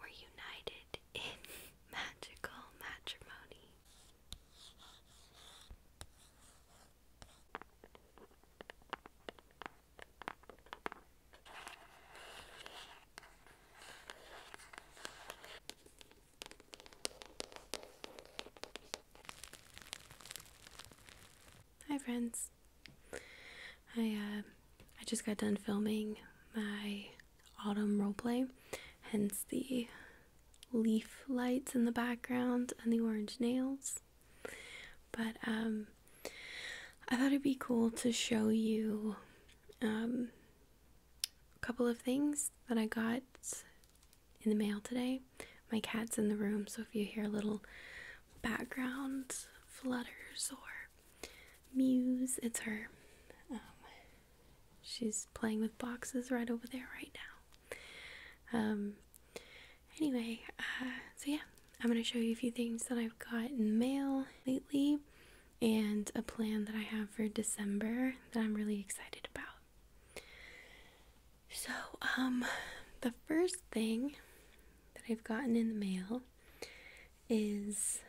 We're united in magical matrimony. Hi friends. I uh, I just got done filming my autumn roleplay, hence the leaf lights in the background and the orange nails. But um, I thought it'd be cool to show you um, a couple of things that I got in the mail today. My cat's in the room, so if you hear little background flutters or mews, it's her. Um, she's playing with boxes right over there right now. Um, anyway, uh, so yeah, I'm going to show you a few things that I've got in the mail lately and a plan that I have for December that I'm really excited about. So, um, the first thing that I've gotten in the mail is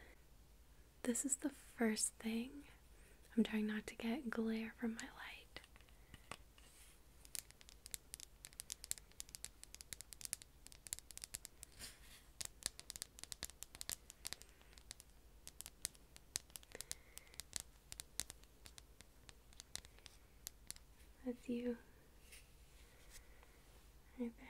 this is the first thing. I'm trying not to get glare from my light. That's you. Right there.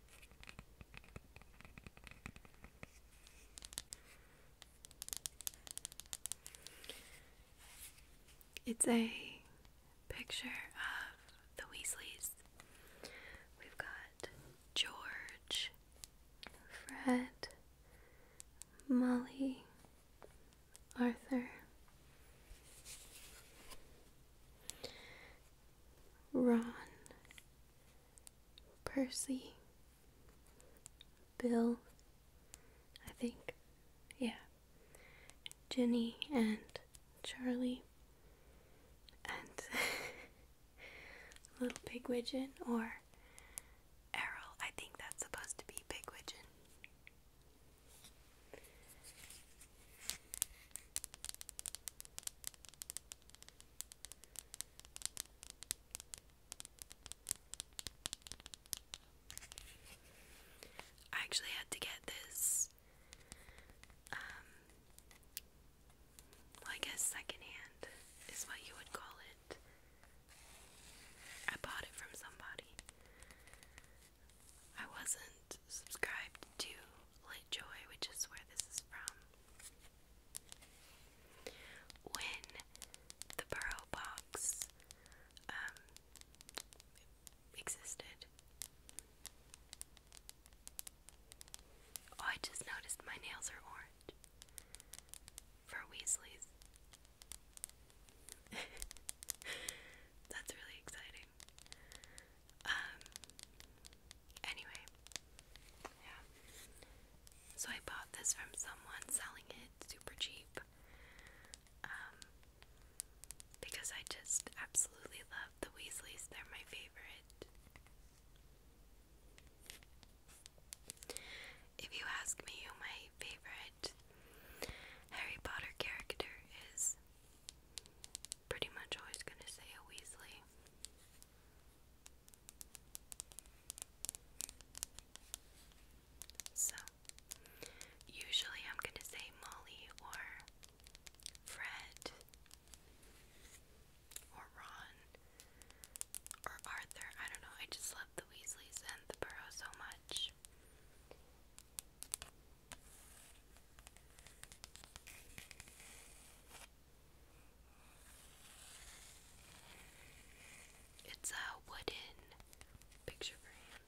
It's a picture of the Weasleys. We've got George, Fred, Molly, Arthur, Ron, Percy, Bill, I think, yeah, Jenny and Charlie, and Little Pig Widgeon or Errol. I think that's supposed to be Pig I actually had to get this um like a is what you would call it. I bought it from somebody. I wasn't subscribed to Lit which is where this is from. When the Burrow Box um, existed, oh, I just noticed my nails are orange for Weasleys. That's really exciting. Um, anyway, yeah. So I bought this from someone selling it super cheap. Um, because I just absolutely love the Weasleys, they're my favorite. If you ask me who my favorite Harry Potter character is, pretty much always going to say a Weasley. So, usually I'm going to say Molly or Fred or Ron or Arthur. I don't know. I just love the Weasleys and the Burrow so much. It's a wooden picture frame.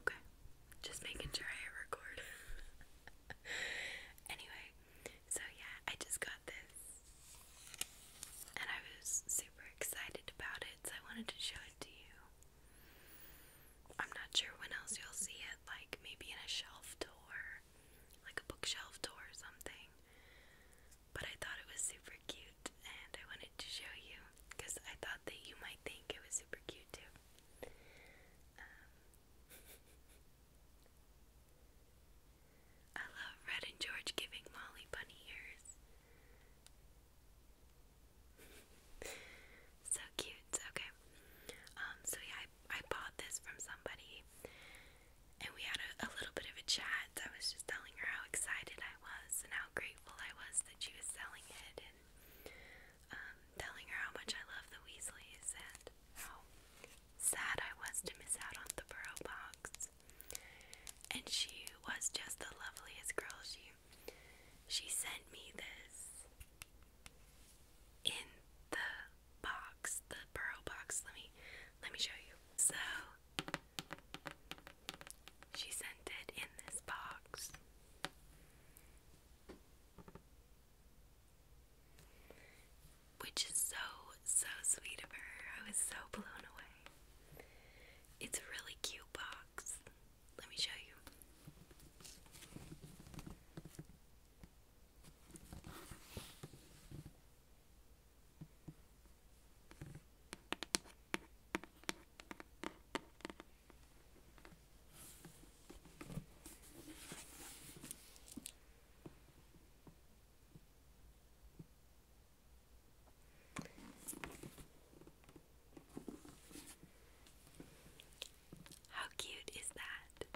Okay, just making sure I record. anyway, so yeah, I just got this and I was super excited about it, so I wanted to show it to you. I'm not sure when else you'll see it, like maybe in a shelf tour, like a bookshelf tour or something. But I thought it was super cute and I wanted to show you because I thought that you might think it was super cute too. Um, I love Red and George giving Molly bunny ears. so cute. Okay. Um, so yeah, I, bought this from somebody and we had a, little bit of a chat. I was just telling her how excited I was and how grateful I was that she was selling it and um, telling her how much I love the Weasleys and how sad I was to miss out on the Burrow box. And she was just the loveliest girl. She she sent me this in the box, the pearl box. Let me let me show you. So she sent it in this box. Which is so, so sweet of her. I was so blown away. It's a really cute box. Let me show you. How cute is that?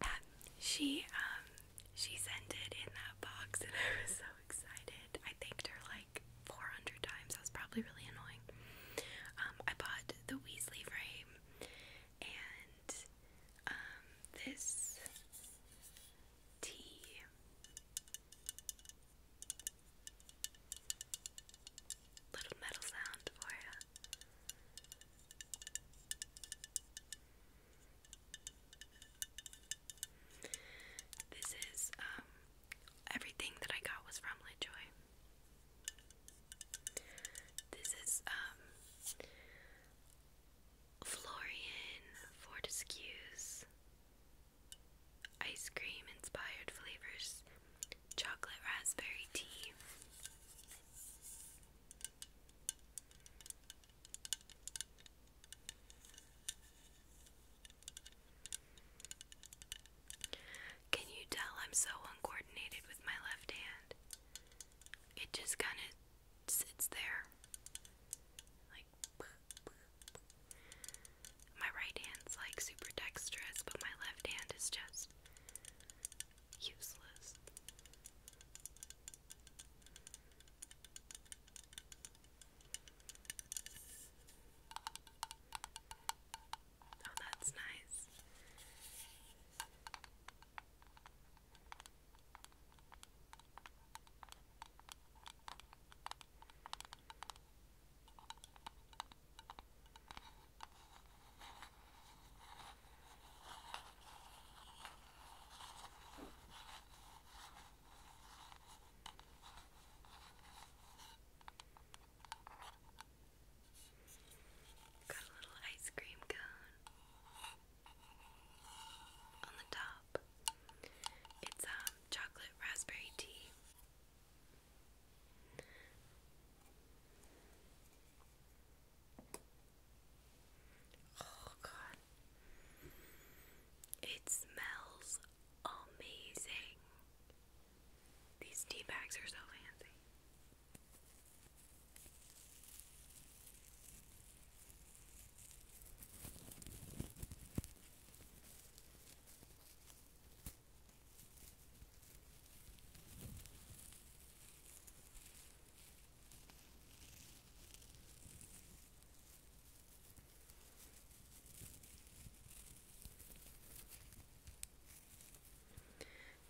Yeah, she um she sent it in that box and I was so excited. I thanked her like 400 times. That was probably really annoying. Um, I bought the Weasley frame and um, this tea. Little metal sound for you. This is um everything that I got was from LaJoy. This is um Florian Fortescue's ice cream inspired flavors, chocolate raspberry tea. Can you tell I'm so uncoordinated with my left hand? It just kind of sits there. Like, my right hand's like super dexterous, but my left hand is just useless. Oh, that's nice. Got a little ice cream cone on the top. It's um chocolate raspberry tea. Oh god. It smells amazing. These tea bags are so fancy.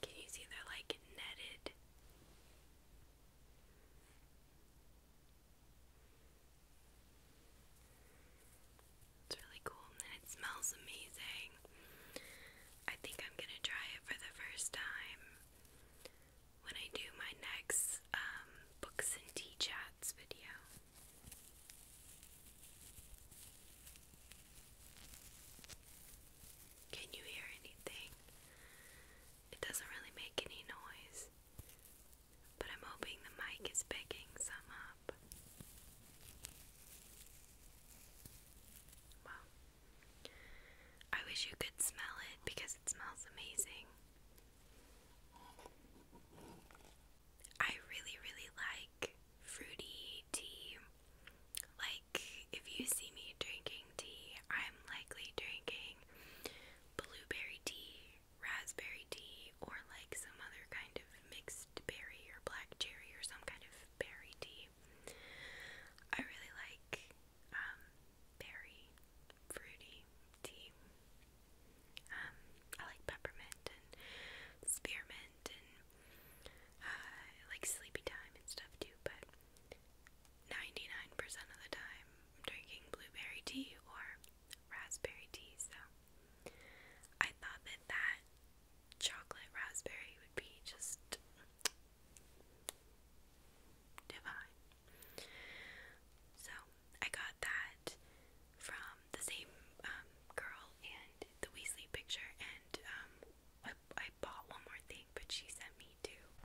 Can you see they're like netted? It's really cool and it smells amazing. I think I'm gonna try it for the first time when I do my next um, books and tea chats video. Can you hear anything? It doesn't really make any noise, but I'm hoping the mic is picking some up. Well, I wish you could smell it because it smells amazing. I really, really like fruity tea. Like, if you see me drinking tea, I'm likely drinking blueberry tea, raspberry tea, or like some other kind of mixed berry or black cherry or some kind of berry tea. I really like um, berry, fruity tea. Um, I like peppermint and spearmint and uh, I like sleepy time and stuff too, but 99% of the time I'm drinking blueberry tea or raspberry tea, so I thought that that chocolate raspberry would be just divine. So I got that from the same um, girl and the Weasley picture, and um, I, I bought one more thing, but she sent me two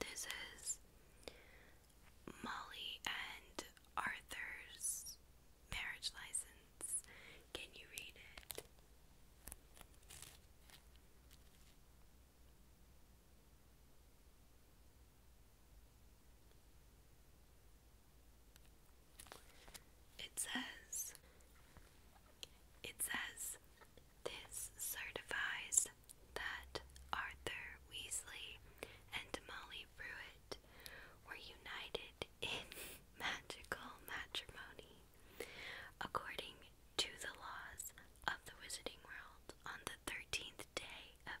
This is Molly and Arthur's marriage license. Can you read it? It says, it says, this certifies that Arthur Weasley and Molly Brewitt were united in magical matrimony according to the laws of the Wizarding World on the 13th day of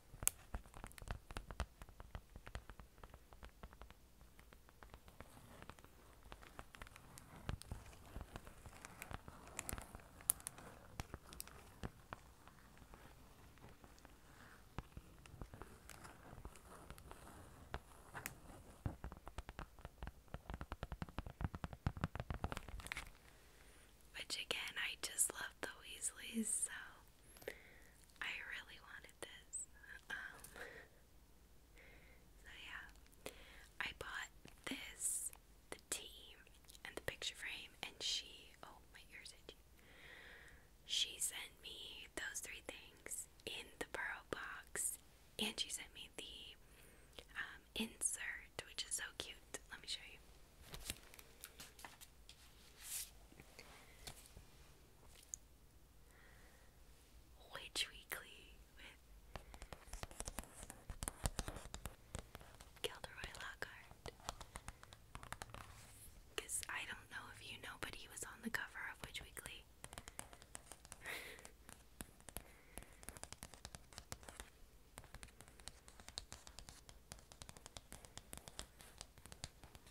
Which again, I just love the Weasleys, so I really wanted this. Um, so yeah, I bought this, the team, and the picture frame, and she, oh, my ears She sent me those three things in the pearl box, and she sent me the um, insert, which is so cute. Let me show you. Witch Weekly with Gilderoy Lockhart. Because I don't know if you know, but he was on the cover of Witch Weekly.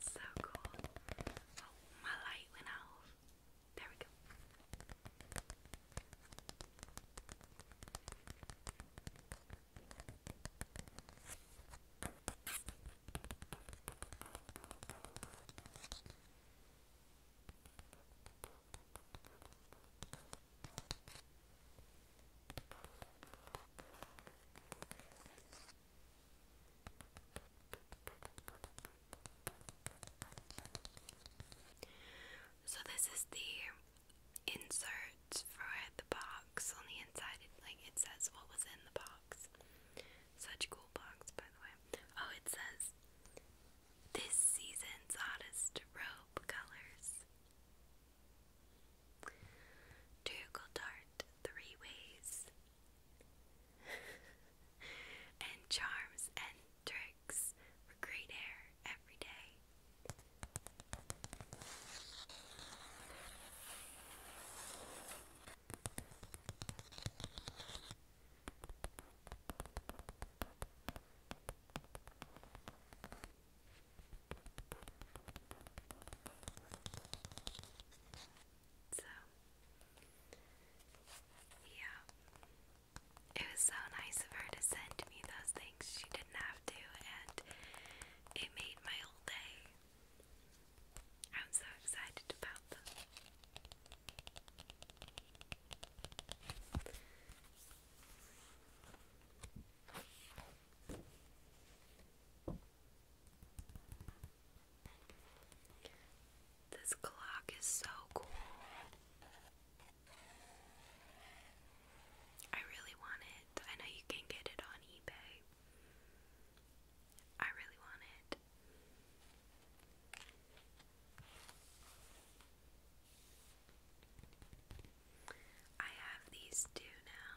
So cool. Oh, my light went out. There we go. So this is the insert for the box on the inside. It, like it says what was in the box. Such cool box, by the way. Oh, it says this season's hottest robe colors. Turgle dart three ways, and charms and tricks for great air every day yeah. It was so nice of her to send me those things. She didn't have to, and it made my whole day. I'm so excited about them. This clock is so cool. I really want it. I know you can get it on eBay. I really want it. I have these two now.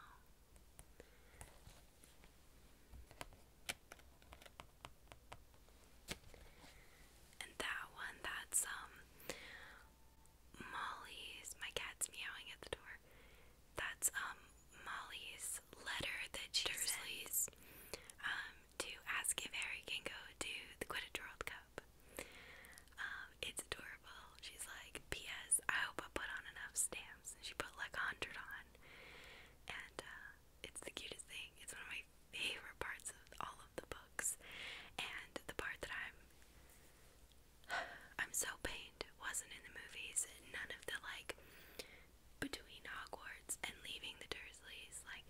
And that one, that's um Molly's my cat's meowing at the door. That's um Molly's letter that she Dursley's, um to ask if Harry can go to the Quidditch World Cup. Um, it's adorable. She's like, P.S. I hope I put on enough stamps. And she put like a hundred on. And uh, it's the cutest thing. It's one of my favorite parts of all of the books. And the part that I'm I'm so pained wasn't in the movies. None of the like between Hogwarts and leaving the Dursleys, like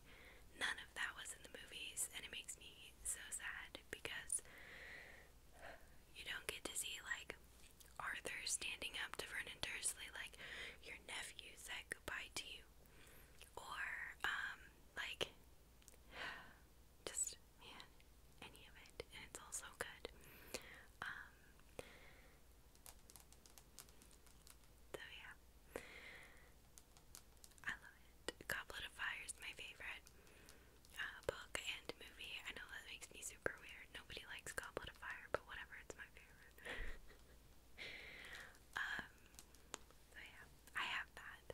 none of that was in the movies, and it makes me so sad because you don't get to see like Arthur standing up to Vernon Dursley like your nephew said goodbye to you. Or um, like just any of it. And it's all so good. Um, so yeah. I love it. Goblet of Fire my favorite uh, book and movie. I know that makes me super weird. Nobody likes Goblet of Fire, but whatever, it's my favorite. Um, so yeah, I have that.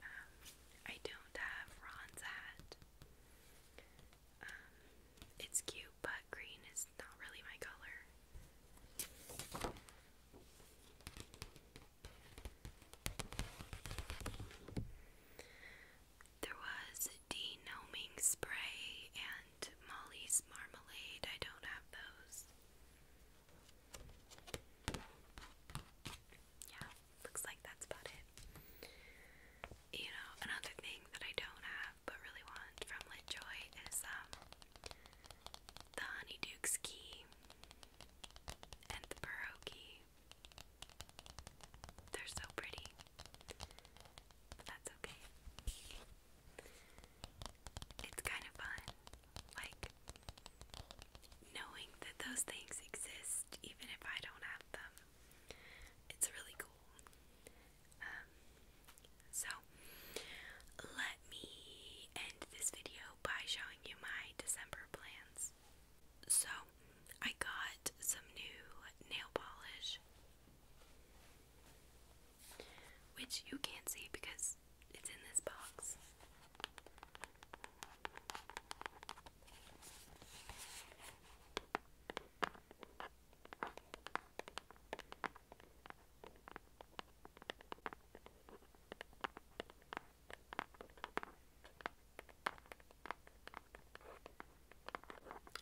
Um, I don't have Ron's hat. Um, it's cute, but green is not really my color. There was denoming spray and Molly's marmalade. I don't have those. Yeah, looks like that's about it. You know, another thing that I don't have but really want from LitJoy is um the Honeyduke's key and the Burrow they're so pretty. that's okay. It's kind of fun. Like, knowing that those things exist, even if I don't have them, it's really cool. Um, so, let me end this video by showing you my December plans. So, I got some new nail polish, which you can't see because it's in this box.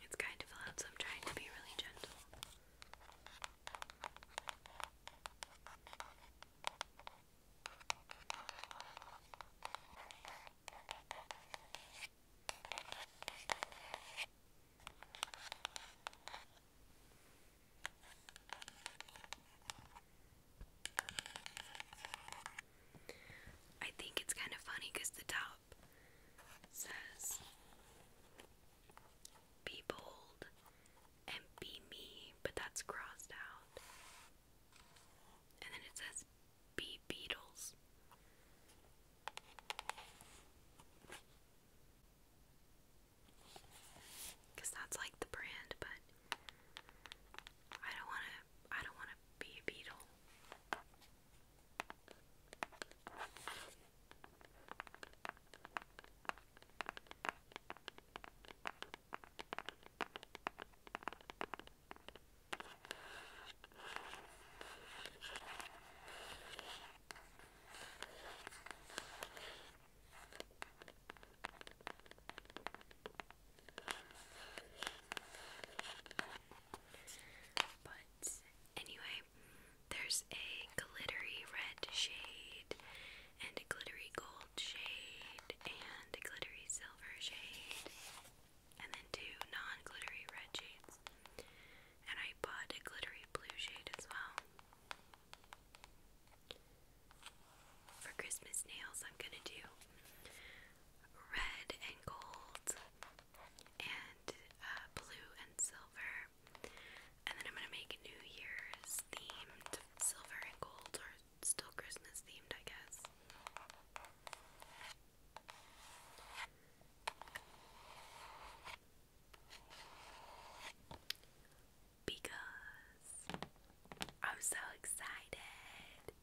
It's kind of loud, so I'm trying to be really gentle. I think it's kind of funny because the top says, Be bold and be me, but that's crossed out. And then it says, Be Beatles. Because that's like the brand, but I don't want to. I don't want to be a beetle. But anyway, there's a glittery red shade, and a glittery gold shade, and a glittery silver shade, and then two non glittery red shades. And I bought a glittery blue shade as well. For Christmas nails, I'm gonna do red and gold and uh, blue and silver. And then I'm going to make New Year's themed silver and gold or still Christmas themed, I guess. Because I'm so excited.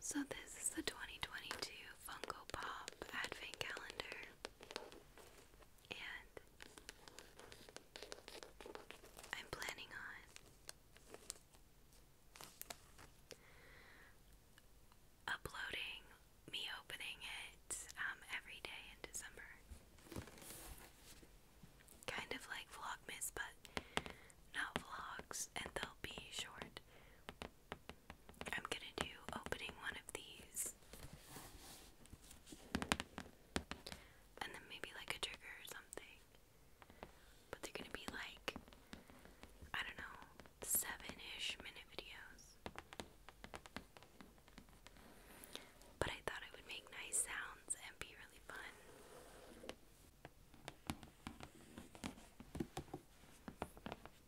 So this is the 2022 Funko Pop Advent Calendar. And I'm planning on uploading me opening it um, every day in December. Kind of like Vlogmas, but not vlogs, and they'll be short. I'm gonna do opening one of these. And then maybe like a trigger or something. But they're gonna be like, I don't know, seven ish minute videos. But I thought it would make nice sounds and be really fun.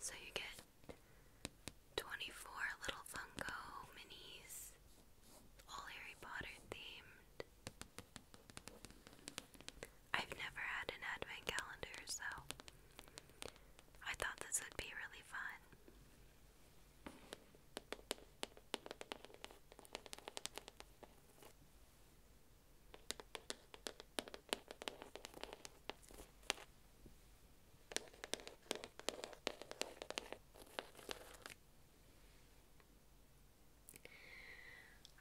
So you get 24 little Funko minis, all Harry Potter themed. I've never had an advent calendar, so I thought this would be really fun.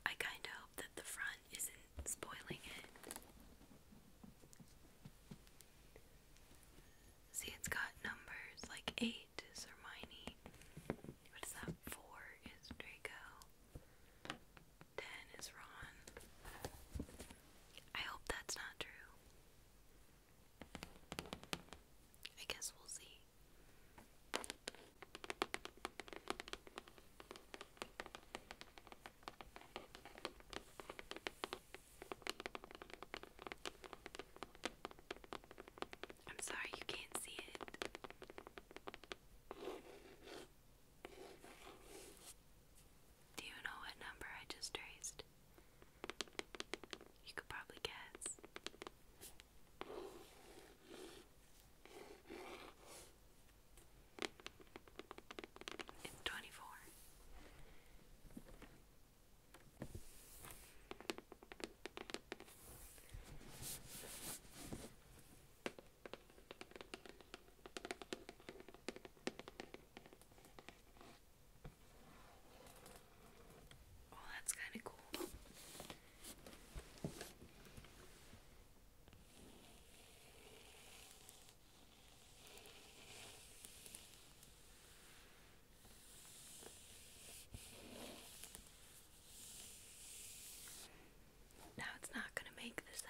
I kind of hope that the front isn't spoiling it. See, it's got numbers like 8 is Hermione. What is that? 4 is Draco. 10 is Ron. I hope that's not true. I guess we'll see. I'm sorry you can't see it. Do you know what number I just traced? You could probably guess and twenty four. Oh, that's kind of cool. Now it's not going to make the sounds.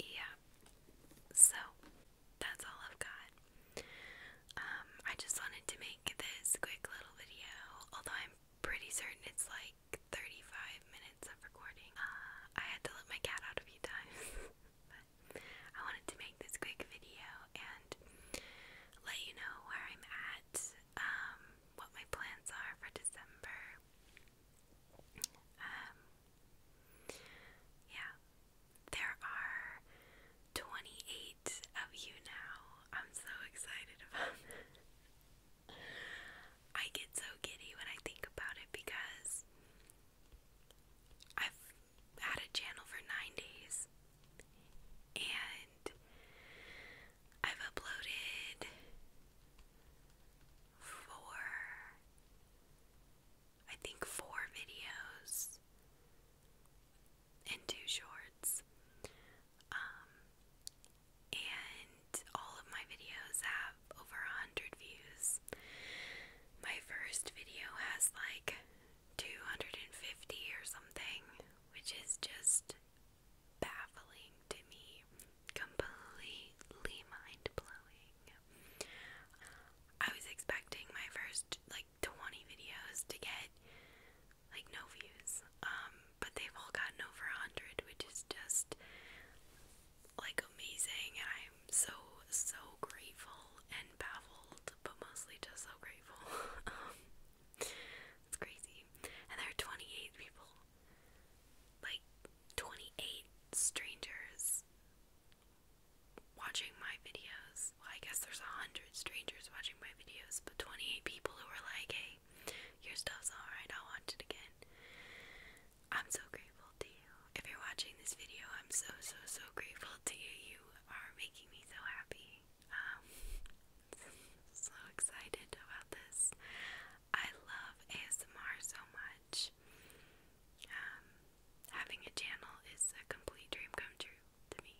yeah. So that's all I've got. Um, I just wanted to make this quick little video, although I'm pretty certain it's like 35 minutes of recording. Uh, I had to let my cat out a few times, but I wanted to make this quick video and let you know where I'm at, um, what my plans are for December. Um, yeah, there are 28 of you now. I'm so excited about I get so giddy when I think about it because I've had a channel for nine days and I've uploaded four I think four videos and two shorts. Um, and all of my videos have over a hundred views. My first video has like 250 or something, which is just baffling to me. Completely mind blowing. I was expecting my first like 20 videos to get like no views, um, but they've all gotten over 100, which is just like amazing. I'm so, so grateful and baffled, but mostly just so grateful. Um, it's crazy. And there are 28 people, like 28 strangers watching my videos. I guess there's a hundred strangers watching my videos, but 28 people who were like, hey, your stuff's alright, I'll watch it again. I'm so grateful to you. If you're watching this video, I'm so, so, so grateful to you. You are making me so happy. Um, so excited about this. I love ASMR so much. Um, Having a channel is a complete dream come true to me.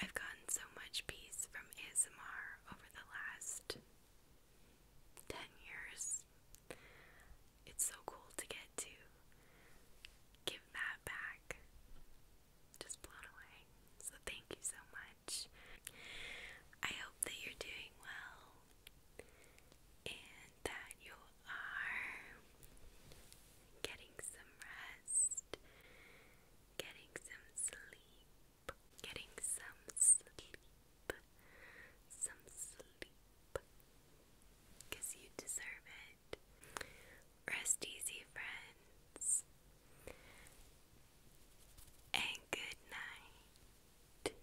I've gotten so much peace from ASMR over the last 10 years. It's so cool to get to give that back. Just blown away. So, thank you so much. I hope that you're doing well and that you are getting some rest, getting some sleep, getting some sleep, some sleep, you deserve it. Rest easy, friends, and good night.